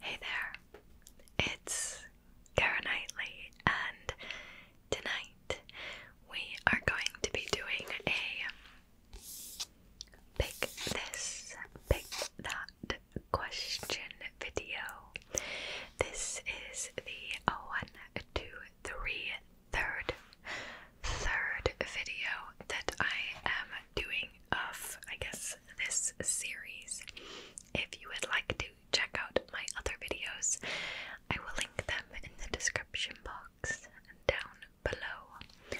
Hey there, it's Kara Knightley, and tonight we are going to be doing a pick this, pick that question video. This is the one, two, three, third, third video that I am doing of, I guess, this series. If you would like to check out my other videos, I will link them in the description box down below.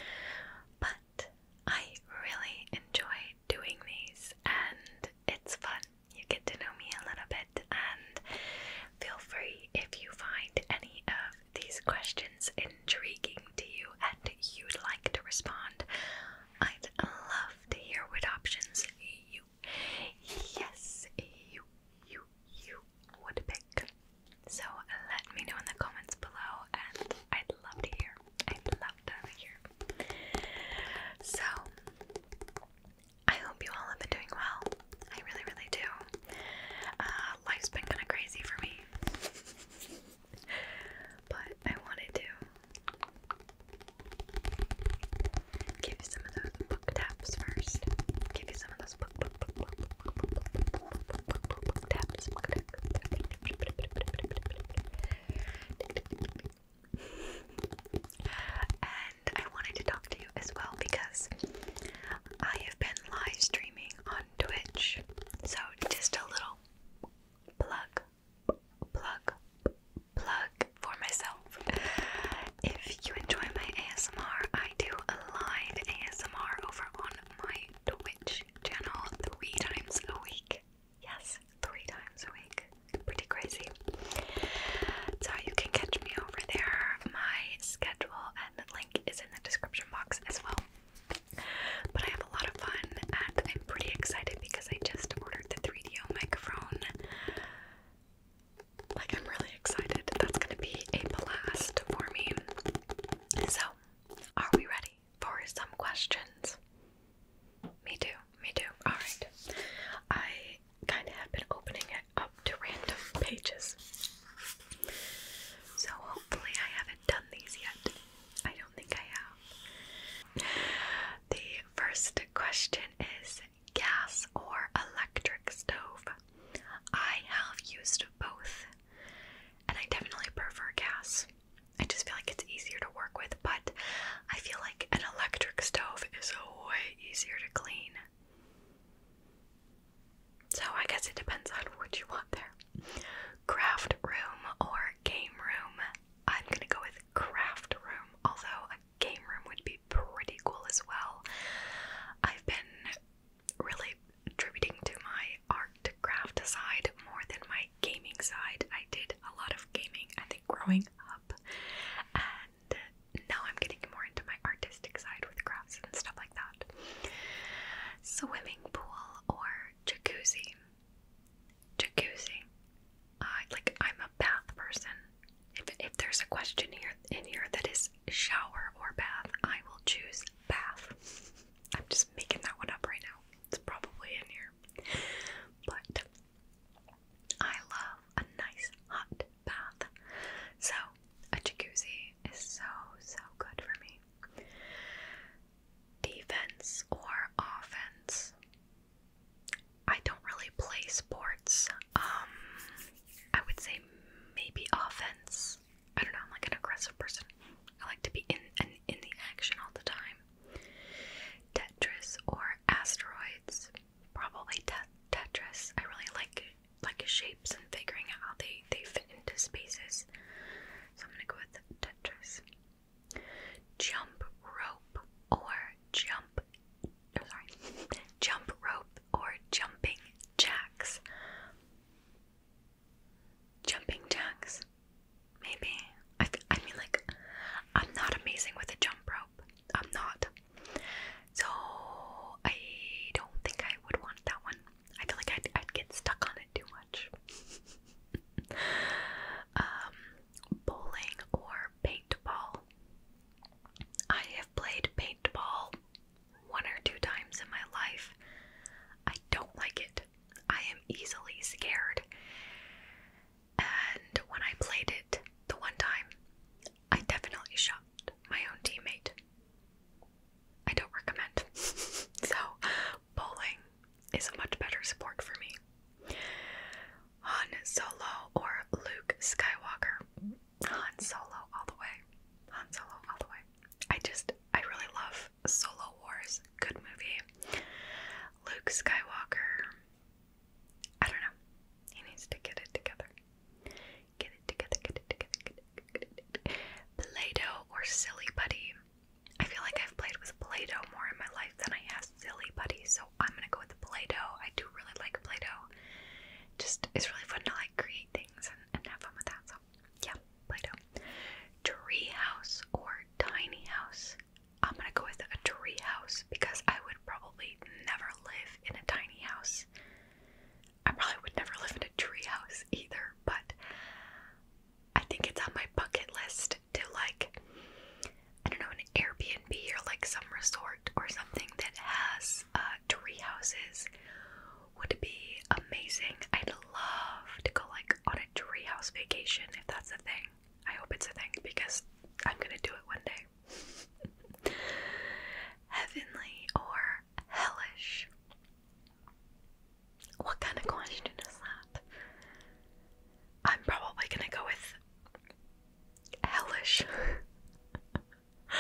But I really enjoy doing these and it's fun. You get to know me a little bit, and feel free if you find any of these questions in intriguing to you and you'd like to respond, I'd love to hear what options you, yes, you, you, you would pick. So let me know in the comments below, and I'd love to hear. i So, I hope you all have been doing well. I really, really do. Uh, life's been kind of crazy for me but I wanted to give you some of those book taps first. Give you some of those book taps. And I wanted to talk to you as well because I have been live streaming on Twitch. So just a little plug, plug, plug for myself. If you enjoy my ASMR, I do a live ASMR over on my Twitch channel three times a week. Yes, three times a week. Pretty crazy. So you can catch me over there. My schedule and the link is in the description box as well. But I have a lot of fun and I'm pretty excited because I just ordered the 3DO microphone. Like, I'm really excited. That's gonna be a blast for me. So, are we ready for some questions? Me too, me too. Alright. I kind of have been opening it up to random pages. So, hopefully, I haven't done these yet. I don't think I have. The first question is gas or electric stove? I have used both, and I definitely prefer gas. I just feel like it's easier to work with, but I feel like an electric stove is way easier to clean. So I guess it depends on what you want there. Craft room or game room. I'm gonna go with craft room, although a game room would be pretty cool as well. I've been really attributing to my art craft side more than my gaming side. I did a lot of gaming, I think, growing up, and now I'm getting more into my artistic side with crafts and stuff like that. Swimming pool or jacuzzi jacuzzi. I uh, like I'm a bath person. If if there's a question here in here that is shower or bath, I will choose bath. I'm just making that one up right now. It's probably in here. But I love a nice hot bath. So a jacuzzi is so so good for me defense or offense. I don't really play sports. Um, I would say maybe offense. I don't know. I'm like an aggressive person. I like to be in in, in the action all the time. Tetris or asteroids. Probably te Tetris. I really like like shapes and figuring out how they they fit into spaces. So I'm gonna go with Jump rope or jump oh, sorry. Jump rope or jumping jacks. Jumping jacks. Maybe. I, I mean, like, I'm not amazing with a jump rope. I'm not. So, I don't think I would want that one. I feel like I'd, I'd get stuck on it too much. Um, bowling or paintball. I have played paintball one or two times in my life. I don't like it. I am easily scared. And when I played it the one time, I definitely shot my own teammate. I don't recommend. so, bowling is a much better sport for me. Han Solo or Luke Skywalker. Han Solo all the way. Han Solo all the way. I just, I really love Solo Wars. Good movie. Luke Skywalker. I don't know. He needs to get it together. Get it together, get it together, get it together. Play Doh or Silly Putty. I feel like I've played with Play-Doh more in my life than I have Silly Putty, so I'm gonna go with the Play-Doh. I do really like Play-Doh. Just it's really fun to like create things and, have fun with that. So yeah, Play-Doh. Tree house or tiny house. I'm gonna go with a tree house because I would probably never live in a tiny house. I probably would never live in a tree house either, but I think it's on my bucket list to like I don't know an Airbnb or like some resort or something that has uh, tree houses would be amazing. I'd love to go like on a tree house vacation if that's a thing. I hope it's a thing because I'm gonna do it one day. Heavenly or hellish? What kind of question is that? I'm probably gonna go with hellish.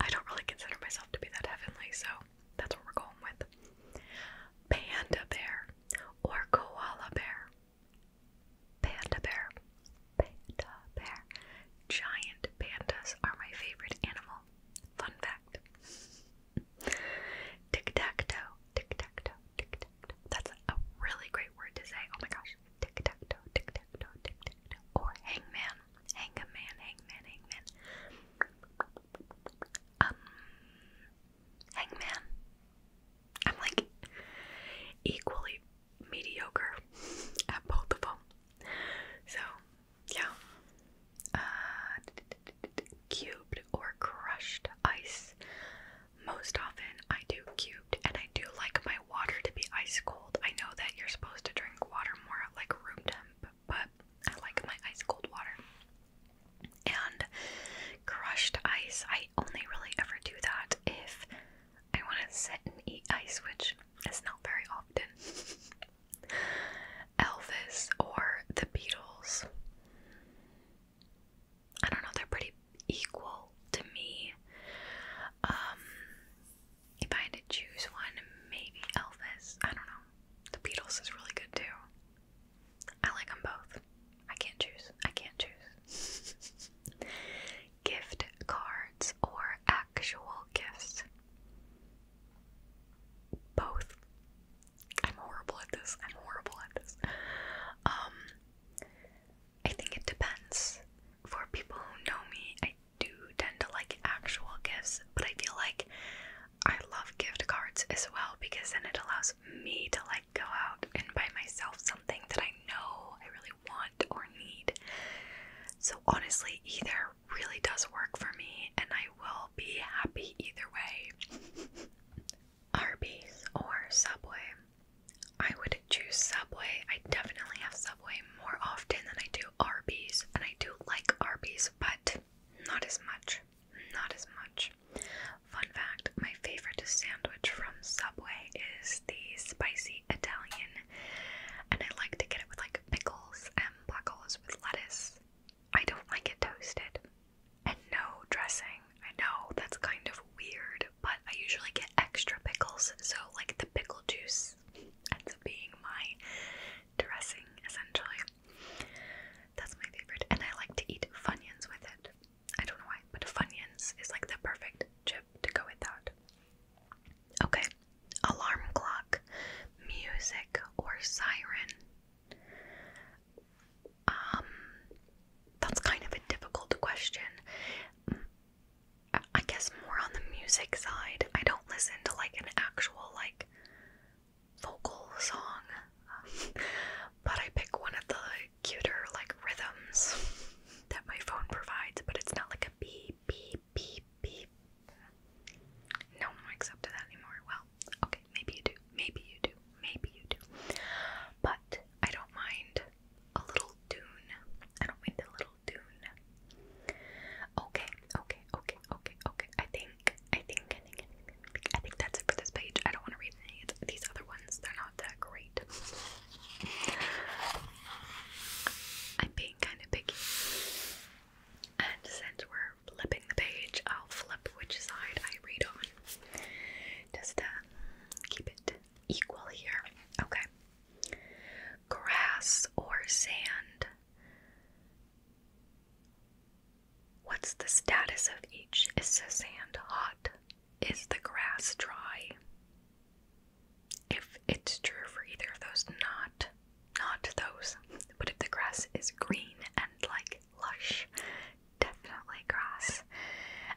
I don't really consider myself to be that heavenly, so that's what we're going with. Panda bear or koala bear. Panda bear. Panda bear. Giant pandas are my favorite animal. Fun fact. Tic tock, toe, tic tock, toe, tic tock. toe. That's a really great word to say. Oh my gosh. Tic tock, toe, tic tock, toe, tic tock. toe. Or hangman, hangman, hangman, hangman. Um, hangman. I'm like equally mediocre at both of them. So yeah. Uh, cubed or crushed ice. Most often I do cubed, and I do like my water to be ice cold. I know that you're supposed to drink water more at like room temp, but I like my ice cold water. And crushed ice, I only really ever do that if I want to sit and eat ice, which is not very often. Elvis or the Beatles. I don't know, they're pretty equal to me. Um, if I had to choose one, maybe Elvis. I don't know. The Beatles is really good too. I like them both. I can't choose. I can't choose. Gift cards or actual gifts both. I'm horrible at this. I'm horrible at this. Um, I think it depends. For people who know me, I do tend to like actual gifts, but I feel like I love gift cards as well because then it allows me to like go out and buy myself something that I know I really want or need. So honestly, either really does work for me, and I will be happy either way. Arby's or Subway? I would choose Subway. I definitely have Subway more often than I do Arby's, and I do like Arby's, but not as much. Not as much. Fun fact my favorite sandwich from Subway is the spicy Italian, and I like to get it with like pickles and black olives with lettuce. I don't like it toasted. And no dressing. I know that's kind of weird, but I usually get extra pickles, so like the pickle juice ends up being my dressing essentially. That's my favorite, and I like to eat Funyuns with it. I don't know why, but Funyuns is like the perfect chip to go with that. Okay, alarm clock, music, or siren. Um, that's kind of a difficult question. I guess more on the music side. I don't listen to like an actual like vocal song, but I pick one of the cuter like rhythms that my phone provides. But it's not like a beep beep beep beep no one wakes up to that anymore. Well, okay, maybe you do. Maybe you do. Maybe you do. But I don't mind a little dune. I don't mind a little dune. Okay, okay, okay, okay, okay. I think, I think, I think, I think, I think that's it for this page. I don't want to read any of these other ones. They're not that great. I'm being kind of picky. And since we're flipping the page, I'll flip which side I read on. Just to uh, keep it equal here. Okay. Grass or sand? What's the status of each? Is the sand hot? Is the grass dry? If it's true for either of those, not not those. But if the grass is green and like lush, definitely grass.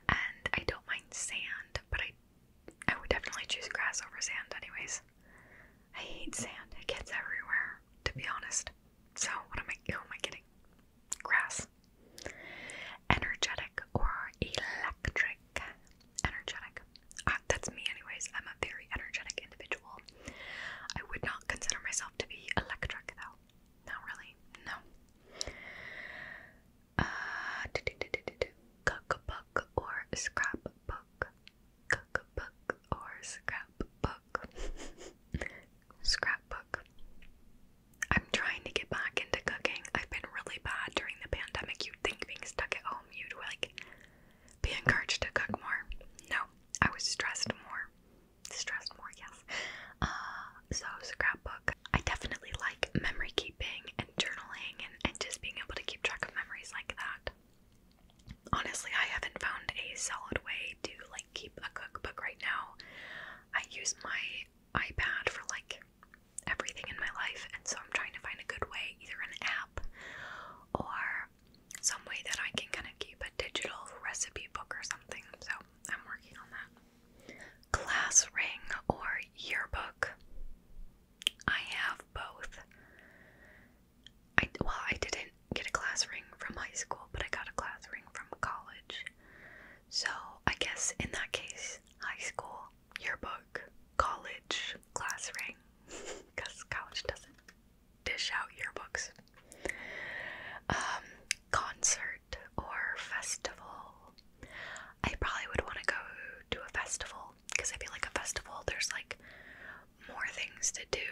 And I don't mind sand, but I I would definitely choose grass over sand anyways. I hate sand. It gets everywhere, to be honest. So what am I who am I getting? Grass. Energetic or electric. Energetic. Ah, that's me anyways. I'm a very energetic individual. I would not consider myself to be electric, though. Not really. No. Uh, cookbook or scrapbook. Cookbook or scrapbook. scrapbook. I'm trying to get back into cooking. I've been really bad during the pandemic. You'd think being stuck at home, you'd like be encouraged to cook more. No, I was stressed more. Stressed more, yes. Uh, so, scrapbook. I definitely like memory keeping and journaling and, and just being able to keep track of memories like that. Honestly, I haven't found a solid way to like keep a cookbook right now. I use my iPad for like everything in my life, and so I'm trying to find a good way, either an app or some way that I can kind of keep a digital recipe book or something. So I'm working on that. Class ring or yearbook? I have both. I well, I didn't get a class ring from high school, but I got a class ring from college. So I guess in that case, high school yearbook, college class ring, because college doesn't dish out yearbooks. Um, concert or festival. I probably would want to go to a festival because I feel like a festival there's like more things to do,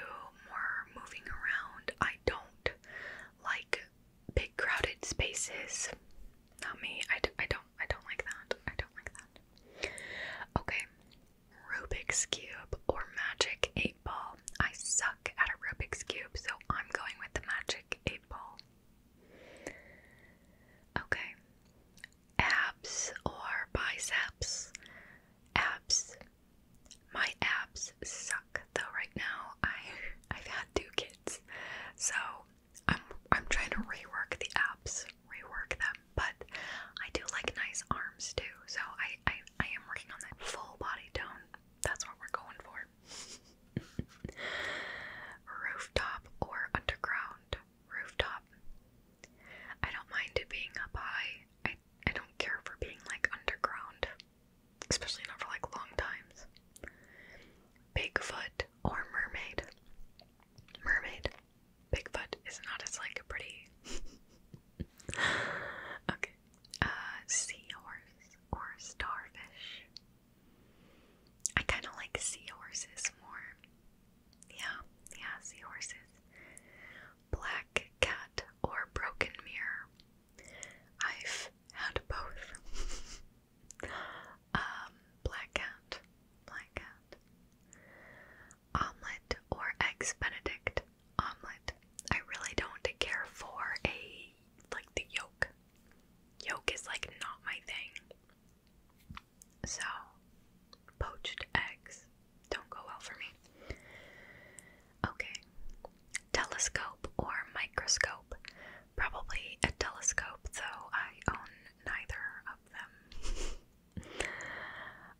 more moving around. I don't like big crowded spaces. Not me I do not I, d I don't I don't like that. I don't like that. Okay. Rubik's Cube or Magic 8 Ball. I suck at a Rubik's Cube, so I'm going with the Magic 8 Ball. Okay. Abs or biceps? Abs. My abs suck though right now. I I've had two kids. So I'm I'm trying to rework the abs, rework them but I do like nice arms too, so I I, I am working on that full body tone. That's what we're going for. Rooftop or underground? Rooftop. I don't mind it being up high. I I don't care for being like underground, especially not for like long times. Bigfoot or mermaid? Mermaid. Bigfoot is not as like a pretty. okay. Uh seahorse or starfish. I kinda like seahorses more. Yeah, yeah, seahorses. Black cat or broken mirror. I've had both. um, black cat, black cat. Omelette or eggs benedict omelet. I really don't care for a like the yolk. Yolk is like not my thing. So poached eggs don't go well for me. Okay. Telescope or microscope. Probably a telescope, though I own neither of them.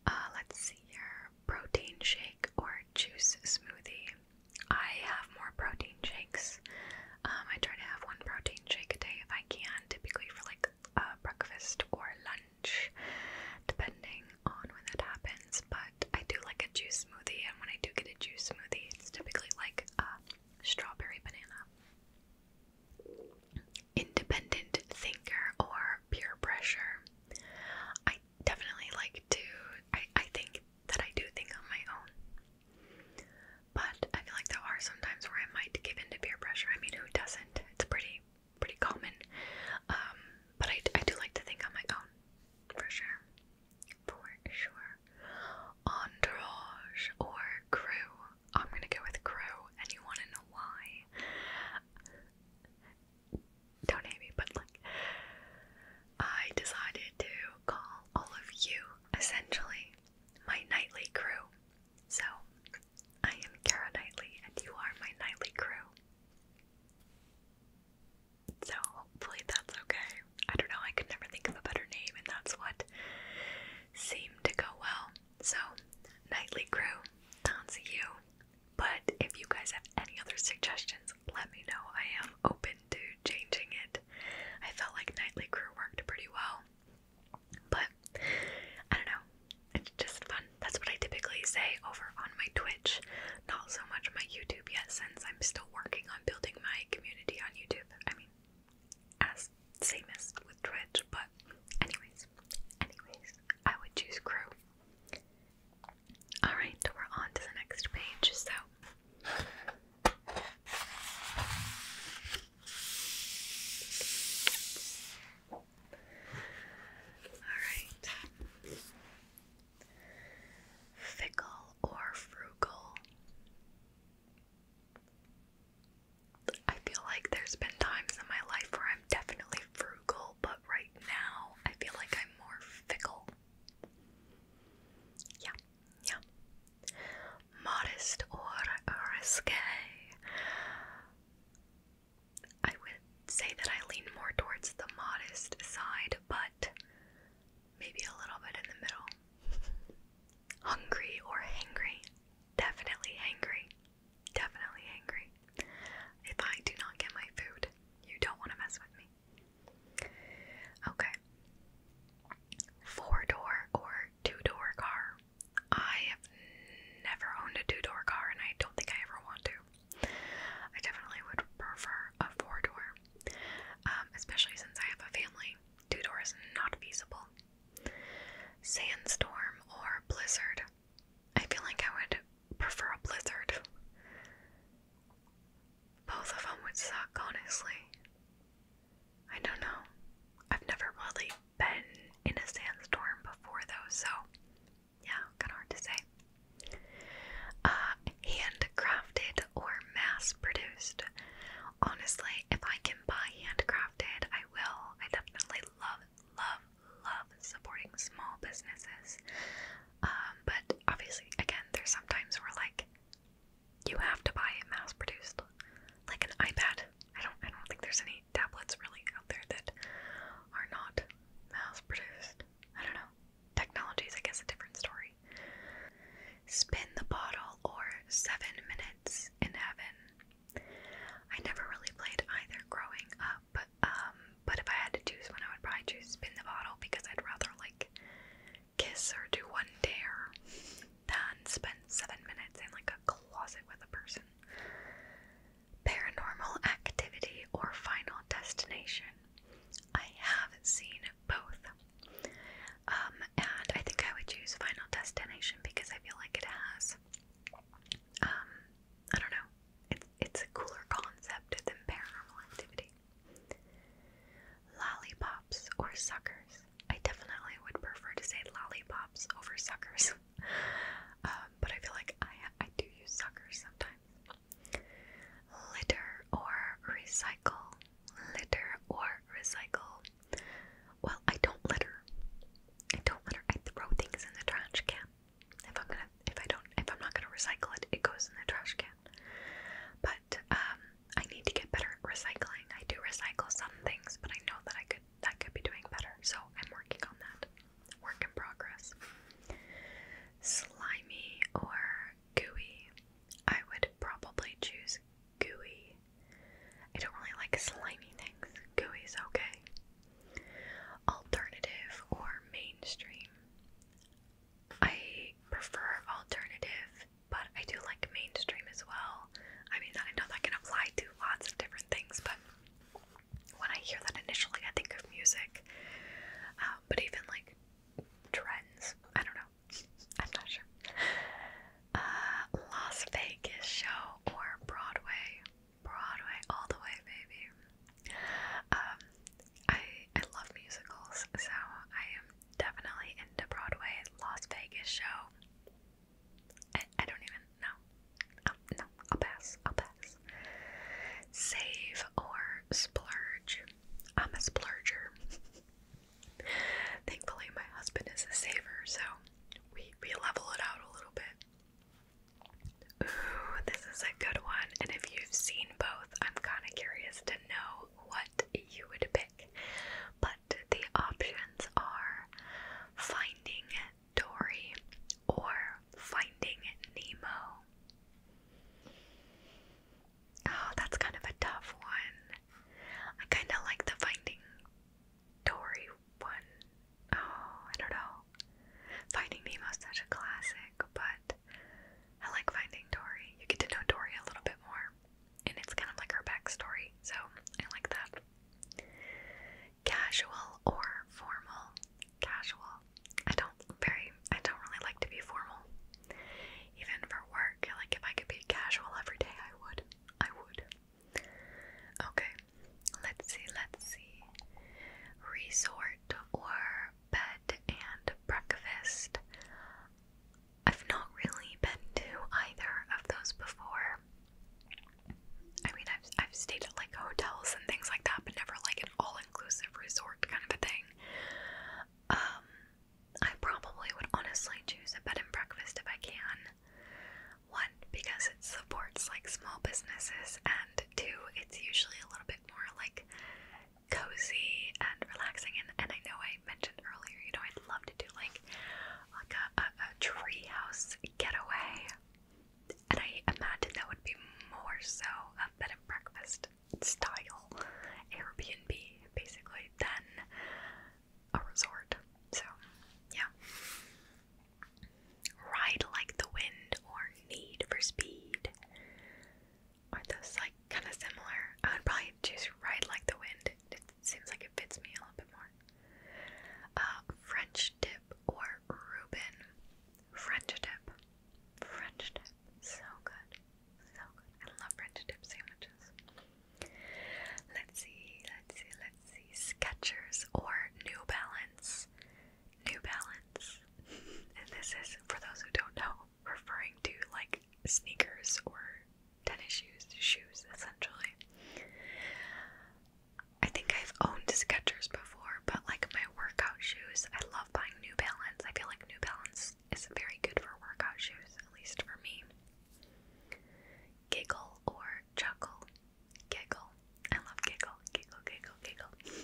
Uh, let's see here protein shake or juice smoothie. I have more protein shakes. Um, I try to have one protein shake a day if I can, typically for like uh, breakfast or lunch, depending on when that happens. But I do like a juice smoothie, and when I do get a juice smoothie, it's typically like a strawberry banana independent thinker or peer pressure. I definitely like to, I, I think that I do think on my own. But I feel like there are some where I might give in peer pressure. I mean, who doesn't? It's pretty, pretty common. Um, but I, I do like to think on my own, for sure. For sure. Entourage or crew. I'm gonna go with crew, and you wanna know why. Don't hate me, but like, I decided to call all of you essentially my nightly crew. So, I am Kara Nightly, and you are my nightly crew. So, hopefully, that's okay. I don't know, I could never think of a better name, and that's what seemed to go well. So, nightly crew, that's you. But if you guys have any other suggestions, let me know. I am open to changing it. I felt like Nightly Crew worked pretty well. But I don't know. It's just fun. That's what I typically say over on my Twitch. Not so much my YouTube yet, since I'm still working on building my community on YouTube. I mean, as same with Twitch but anyways, anyways, I would choose crew. Alright, we're on to the next page, so Alright. Fickle or frugal? I feel like there's been times in my life where I'm definitely frugal, but right now I feel like I'm more fickle. Yeah, yeah. Modest or risque. I would say that I lean more towards the modest side, but maybe a little bit in the middle. Hungry or hangry? Definitely hangry. Definitely angry. If I do not get my food, you don't want to mess with me. Okay. Four door or two door car. I have never owned a two door car and I don't think I ever want to. I definitely would prefer a four door, um, especially since I have a family. Two door is not feasible. Sandstorm or blizzard. I feel like I would prefer a blizzard. Both of them would suck, honestly. I don't know. I've never really been in a sandstorm before, though, so yeah, kind of hard to say. Uh, handcrafted or mass produced? Honestly, if I can buy handcrafted, I will. I definitely love, love, love supporting small businesses. Um, but obviously, again, there's sometimes where like you have to buy it mass produced, like an iPad. I don't, I don't think there's any tablets really out there that are not mass produced. I don't know. Technology is, I guess, a different story. Spin the bottle or seven minutes in heaven. I never really played either growing up, um, but if I had to choose one, I would probably choose Spin the Bottle because I'd rather like kiss or do one dare than spend seven minutes in like a closet with a person. Paranormal Activity or Final Destination. I have not seen both. Um, and I think I would choose Final Destination because I feel like it has um, I don't know. It's it's a cooler concept than paranormal activity. Lollipops or suckers. I definitely would prefer to say lollipops over suckers. Um, but I feel like I I do use suckers sometimes. Litter or recycle. Litter or recycle. Well, I don't litter. I don't litter. I throw things in the trash can. If I'm gonna, if I don't, if I'm not gonna recycle it, it goes in the trash can. But um, I need to get better at recycling. I do recycle some things, but I know that I could, I could be doing better. So I'm working on that. Work in progress. Slimy or gooey? I would probably choose gooey. I don't really like slimy things. Gooey is okay alternative or mainstream. I prefer alternative, but I do like mainstream as well. I mean, I know that can apply to lots of different things, but when I hear that initially, I think of music. Uh, but even like trends, I don't know. I'm not sure. Uh, Las Vegas show or Broadway. Broadway all the way, baby. Um, I I love musicals, so I am definitely into Broadway, Las Vegas show. I, don't even know. Oh, no, I'll pass. I'll pass. Save or splurge. I'm a splurger. Thankfully, my husband is a saver, so we we level it out a little bit. Ooh, this is a good one. And if you've seen both, I'm kind of curious to know what you would pick. But the options are Finding Dory or Finding Nemo. Oh, that's kind of a tough one. I kind of like the Finding Dory one. Oh, I don't know. Finding Nemo's such a classic, but I like Finding Dory. You get to know Dory a little bit more, and it's kind of like her backstory, so I like that. Casual or formal? Casual. I don't very. I don't really like to be formal, even for work. Like if I could be casual every day, I would. I would. Okay, let's see, let's see. Resort or bed and breakfast. I've not really been to either of those before. I mean, I've, I've stayed at like hotels and things like that, but never like an all inclusive resort kind of a thing. Um, I probably would honestly choose a bed and breakfast if I can. One, because it supports like small businesses, and two, it's usually a little bit more like cozy and relaxing. And, and I know I mentioned earlier, you know, I'd love to do like like a, a, a treehouse getaway, and I imagine that would be more so a bed and breakfast style Airbnb, basically, than a resort. So, yeah. Ride like the wind or need for speed. Are those like kind of similar? I would probably choose ride like the wind. It seems like it fits me a little bit more. Uh, French dip or Reuben. French dip. French dip. So good. So good. I love French dip sandwiches. Let's see, let's see, let's see, Skechers or New Balance. New Balance. and this is, for those who don't know, referring to like sneakers or tennis shoes, shoes essentially. I think I've owned Skechers before, but like my workout shoes, I love buying New Balance. I feel like New Balance is very good for workout shoes, at least for me. Giggle or or chuckle, giggle. I love giggle, giggle, giggle, giggle.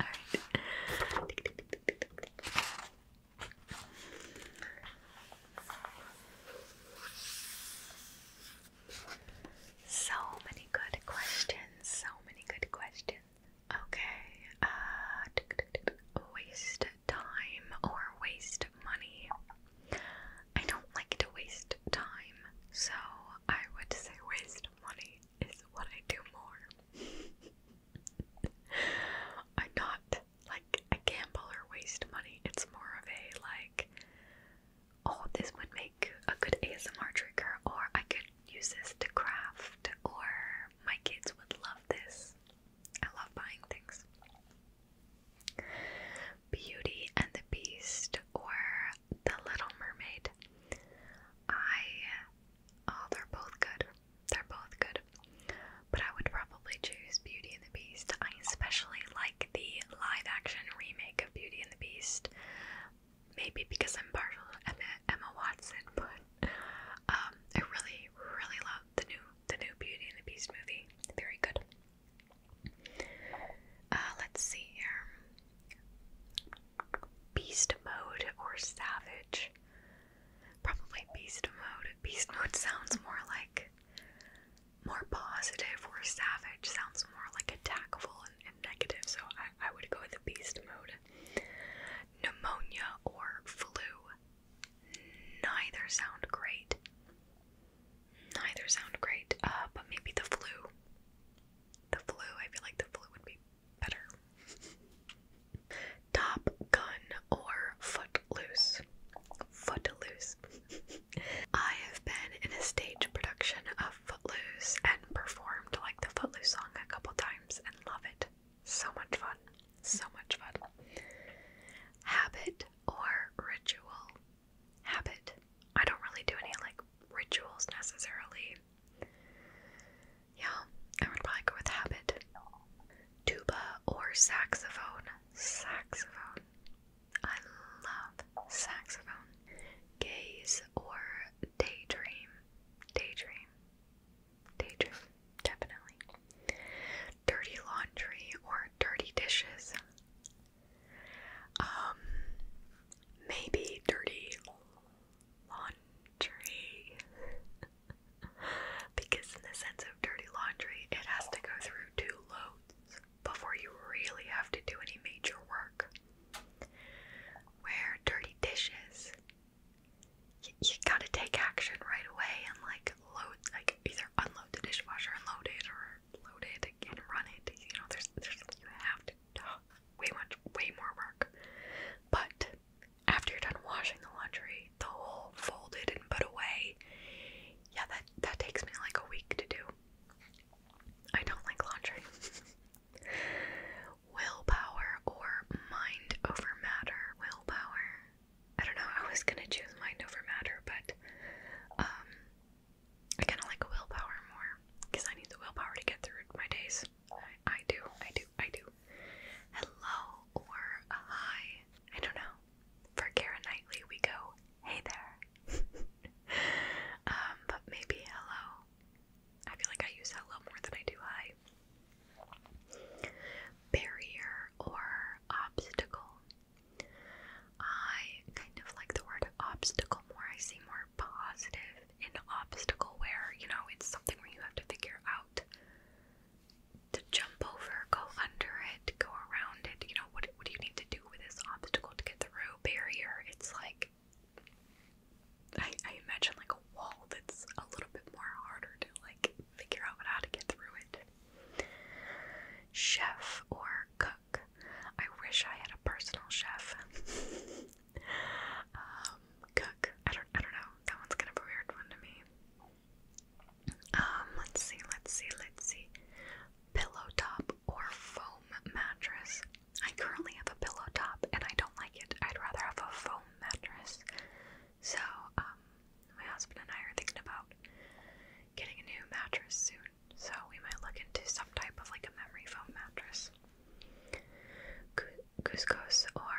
Alright. So many good questions. So many good questions. Okay. Uh, waste time or waste money? I don't like to waste time, so I would say waste money is what I do more. I'm not like a gamble or waste money, it's more of a like, oh, this would make a good ASMR trigger, or I could use this to craft, or my kids would love this. I love buying things. Beauty and the Beast or The Little Mermaid. I, oh, they're both good. They're both good. But I would probably choose Beauty and the Beast. I especially like the live action remake of Beauty and the Beast. Maybe because I'm partial to Emma, Watson, but um, I really, really love the new the new Beauty and the Beast movie. Very good. Uh, let's see here. Beast mode or savage? Probably beast mode. Beast mode sounds more like more positive, or savage sounds more like attackful and, negative, so I would go with the beast mode. Pneumonia or flu? Neither sound great. Neither sound great, uh, but maybe the flu. The flu, I feel like the flu would be better. Top Gun or Footloose? Footloose. I have been in a stage production of Footloose and performed like the Footloose song a couple times and love it. So much fun. So much fun. Habit or ritual? habit. I don't really do any like rituals necessarily. Yeah, I would probably go with habit. Tuba or saxophone. Saxophone. I love saxophone. Gaze or daydream. Daydream. Daydream. Definitely. Dirty laundry or dirty dishes. Um, maybe dirty laundry. because, in the sense of dirty laundry, it has to go through two loads before you really have to do any major work. Where dirty dishes, you, gotta take action right away and like load, like either unload the dishwasher and load it or load it and run it. You know, there's there's you have to way much way more work. But after you're done washing the laundry, the whole folded and put away, yeah, that that takes me like a week to do. I don't like laundry. willpower or mind over matter. Willpower. I don't know. I was gonna choose mind over matter, but um, I kind of like willpower more because I need the willpower to get through my days. I, I do, I do, I do. Hello or a hi. I don't know. For Kara Knightley, we go, hey there. um, but maybe hello. I feel like I use hello more than I do hi. Barrier or obstacle. I kind of like the word obstacle more. I see more positive in obstacle where, you know, it's something where you have to figure out to jump over, go under it, go around it. You know, what, what do you need to do with this obstacle to get through? Barrier. It's like, I imagine like a wall that's a little bit more harder to like figure out how to get through it. Chef or cook. I wish I had a personal chef. Um, cook. I don't. I don't know. That one's kind of a weird one to me. Um, let's see. Let's see. Let's see. Pillow top or foam mattress. I currently have a pillow top, and I don't like it. I'd rather have a foam mattress. So, um, my husband and I are thinking about getting a new mattress soon, so we might look into some type of like a memory foam mattress. Couscous or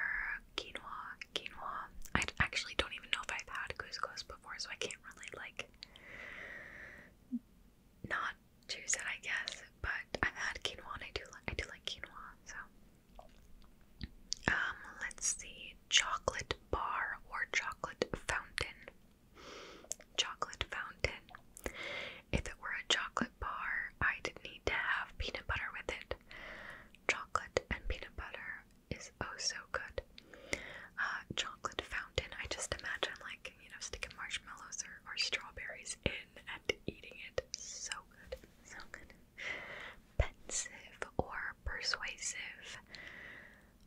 quinoa. Quinoa. I actually don't even know if I've had couscous before, so I can't really like not choose it, I guess. But I've had quinoa, I do like I do like quinoa. So, um, let's see, chocolate bar or chocolate fountain. Chocolate fountain. If it were a chocolate bar, I'd need to have peanut butter with it. Chocolate and peanut butter is oh so good. Uh, chocolate fountain, I just imagine like, you know, sticking marshmallows or, or strawberries in and eating it. So good. So good. Pensive or persuasive.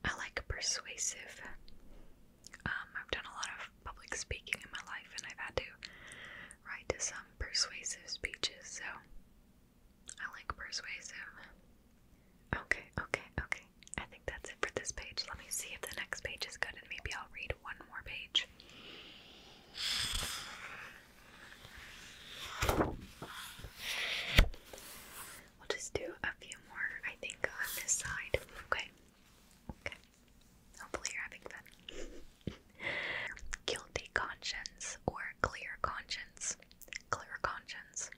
I like persuasive. Um, I've done a lot of public speaking in my life, and I've had to write some persuasive speeches, so I like persuasive. Okay, okay, okay. I think that's it for this page. Let me see if the next page is good, and maybe I'll read one more page. We'll just do a few more, I think, on this side. Okay. Okay. Hopefully you're having fun. Guilty conscience or clear conscience. Clear conscience.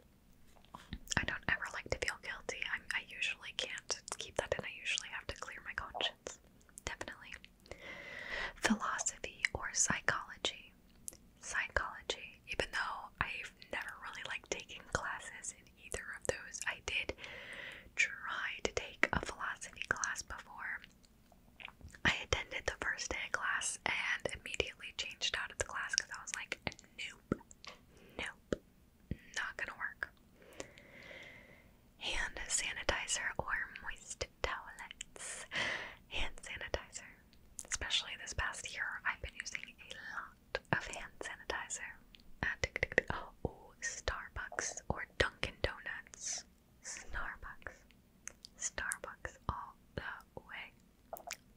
I don't ever like to feel guilty. i usually can't keep that and I usually have to clear my conscience. Definitely. Philosophy or psychology psychology, even though I've never really liked taking classes in either of those. I did try to take a philosophy class before. I attended the first day of class and immediately changed out of the class because I was like, nope, nope, not gonna work. Hand sanitizer or moist towelettes. Hand sanitizer. Especially this past year, I've been using a lot of hand sanitizer. oh, Starbucks or Dunkin' Donuts. Starbucks. Starbucks all the way.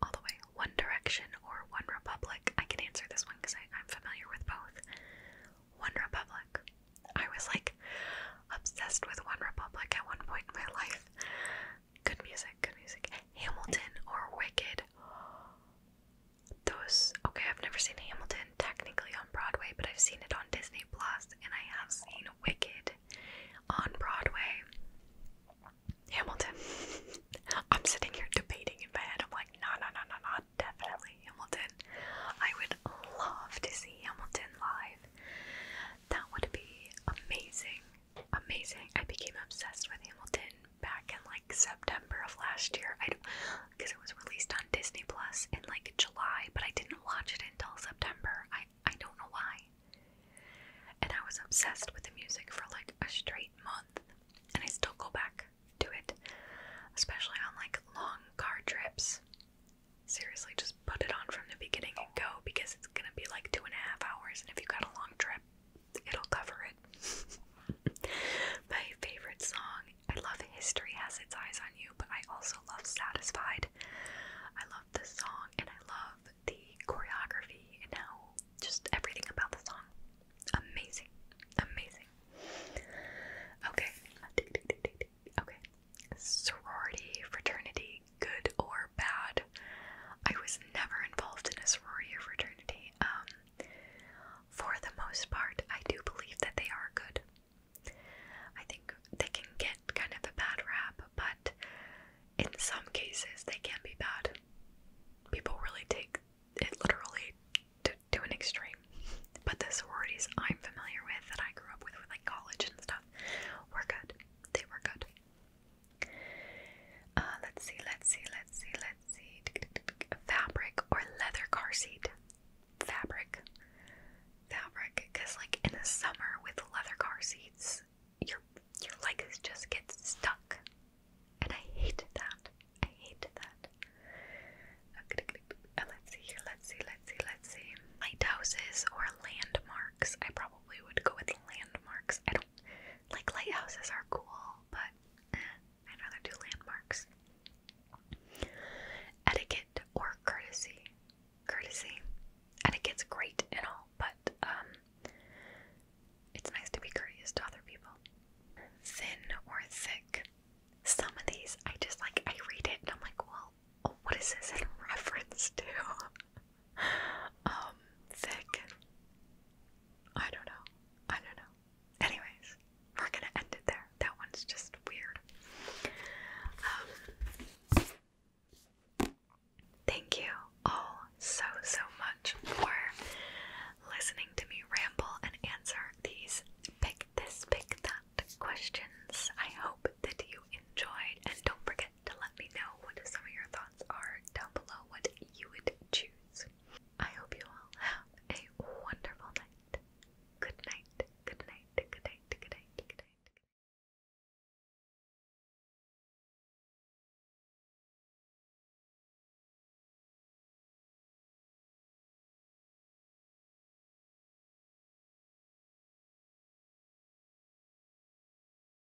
All the way. One Direction or One Republic. I can answer this one because I'm familiar with both. One Republic. I was like obsessed with One Republic at one point in my life. Good music, good music. Hamilton or Wicked? Those, okay, I've never seen Hamilton technically on Broadway, but I've seen it on Disney Plus, and I have seen Wicked on Broadway. Hamilton. I'm sitting here debating in my head. I'm like, no, no, no, no, no, definitely Hamilton. I would love to see Hamilton live. That would be amazing amazing. I became obsessed with Hamilton back in like September of last year. I because it was released on Disney Plus in like July, but I didn't watch it until September. I I don't know why. And I was obsessed with the music for like a straight month, and I still go back to it, especially on like long car trips. Seriously, just put it on from the beginning and go because it's gonna be like two and a half hours, and if you got a long trip, it'll cover it. My favorite song. I love History Has Its Eyes on You, but I also love Satisfied. I love this song and I love the choreography and how just everything about the song. Amazing. Amazing. Okay. Okay. Sorority, fraternity, good or bad. I was never involved in a sorority or fraternity. Um, for the most part, I do believe that they are good. I think they can get kind of a bad rap, but in some cases, they can be bad. People really take it literally to, to an extreme. But the sororities I'm familiar with that I grew up with like college and stuff, were good. They were good. Uh, let's see, let's see, let's see, let's see. Fabric or leather car seat? Fabric. Fabric, because like in the summer with leather car seats, your your legs just get stuck, and I hate that. I hate that. Uh, let's see here. Let's see. Let's see. Let's see. Lighthouses or landmarks. I probably would go with landmarks. I don't like lighthouses are cool, but eh, I'd rather do landmarks. Etiquette or courtesy. Courtesy. Etiquette's great and all, but um it's nice to be courteous to other people. Thin or thick. Some of these I just like I read it and I'm like, well, what is this in reference to? um, thick. I don't know. I don't know. Anyways, we're gonna end it there. That one's just weird. Um, thank you all so, so much for listening to me ramble and answer these pick this, pick that questions. I hope that you enjoyed, and don't forget to let me know what some of your thoughts are down below what you would choose. I hope you all have a wonderful night. Good night, good night, good night, good night, good night. Good night.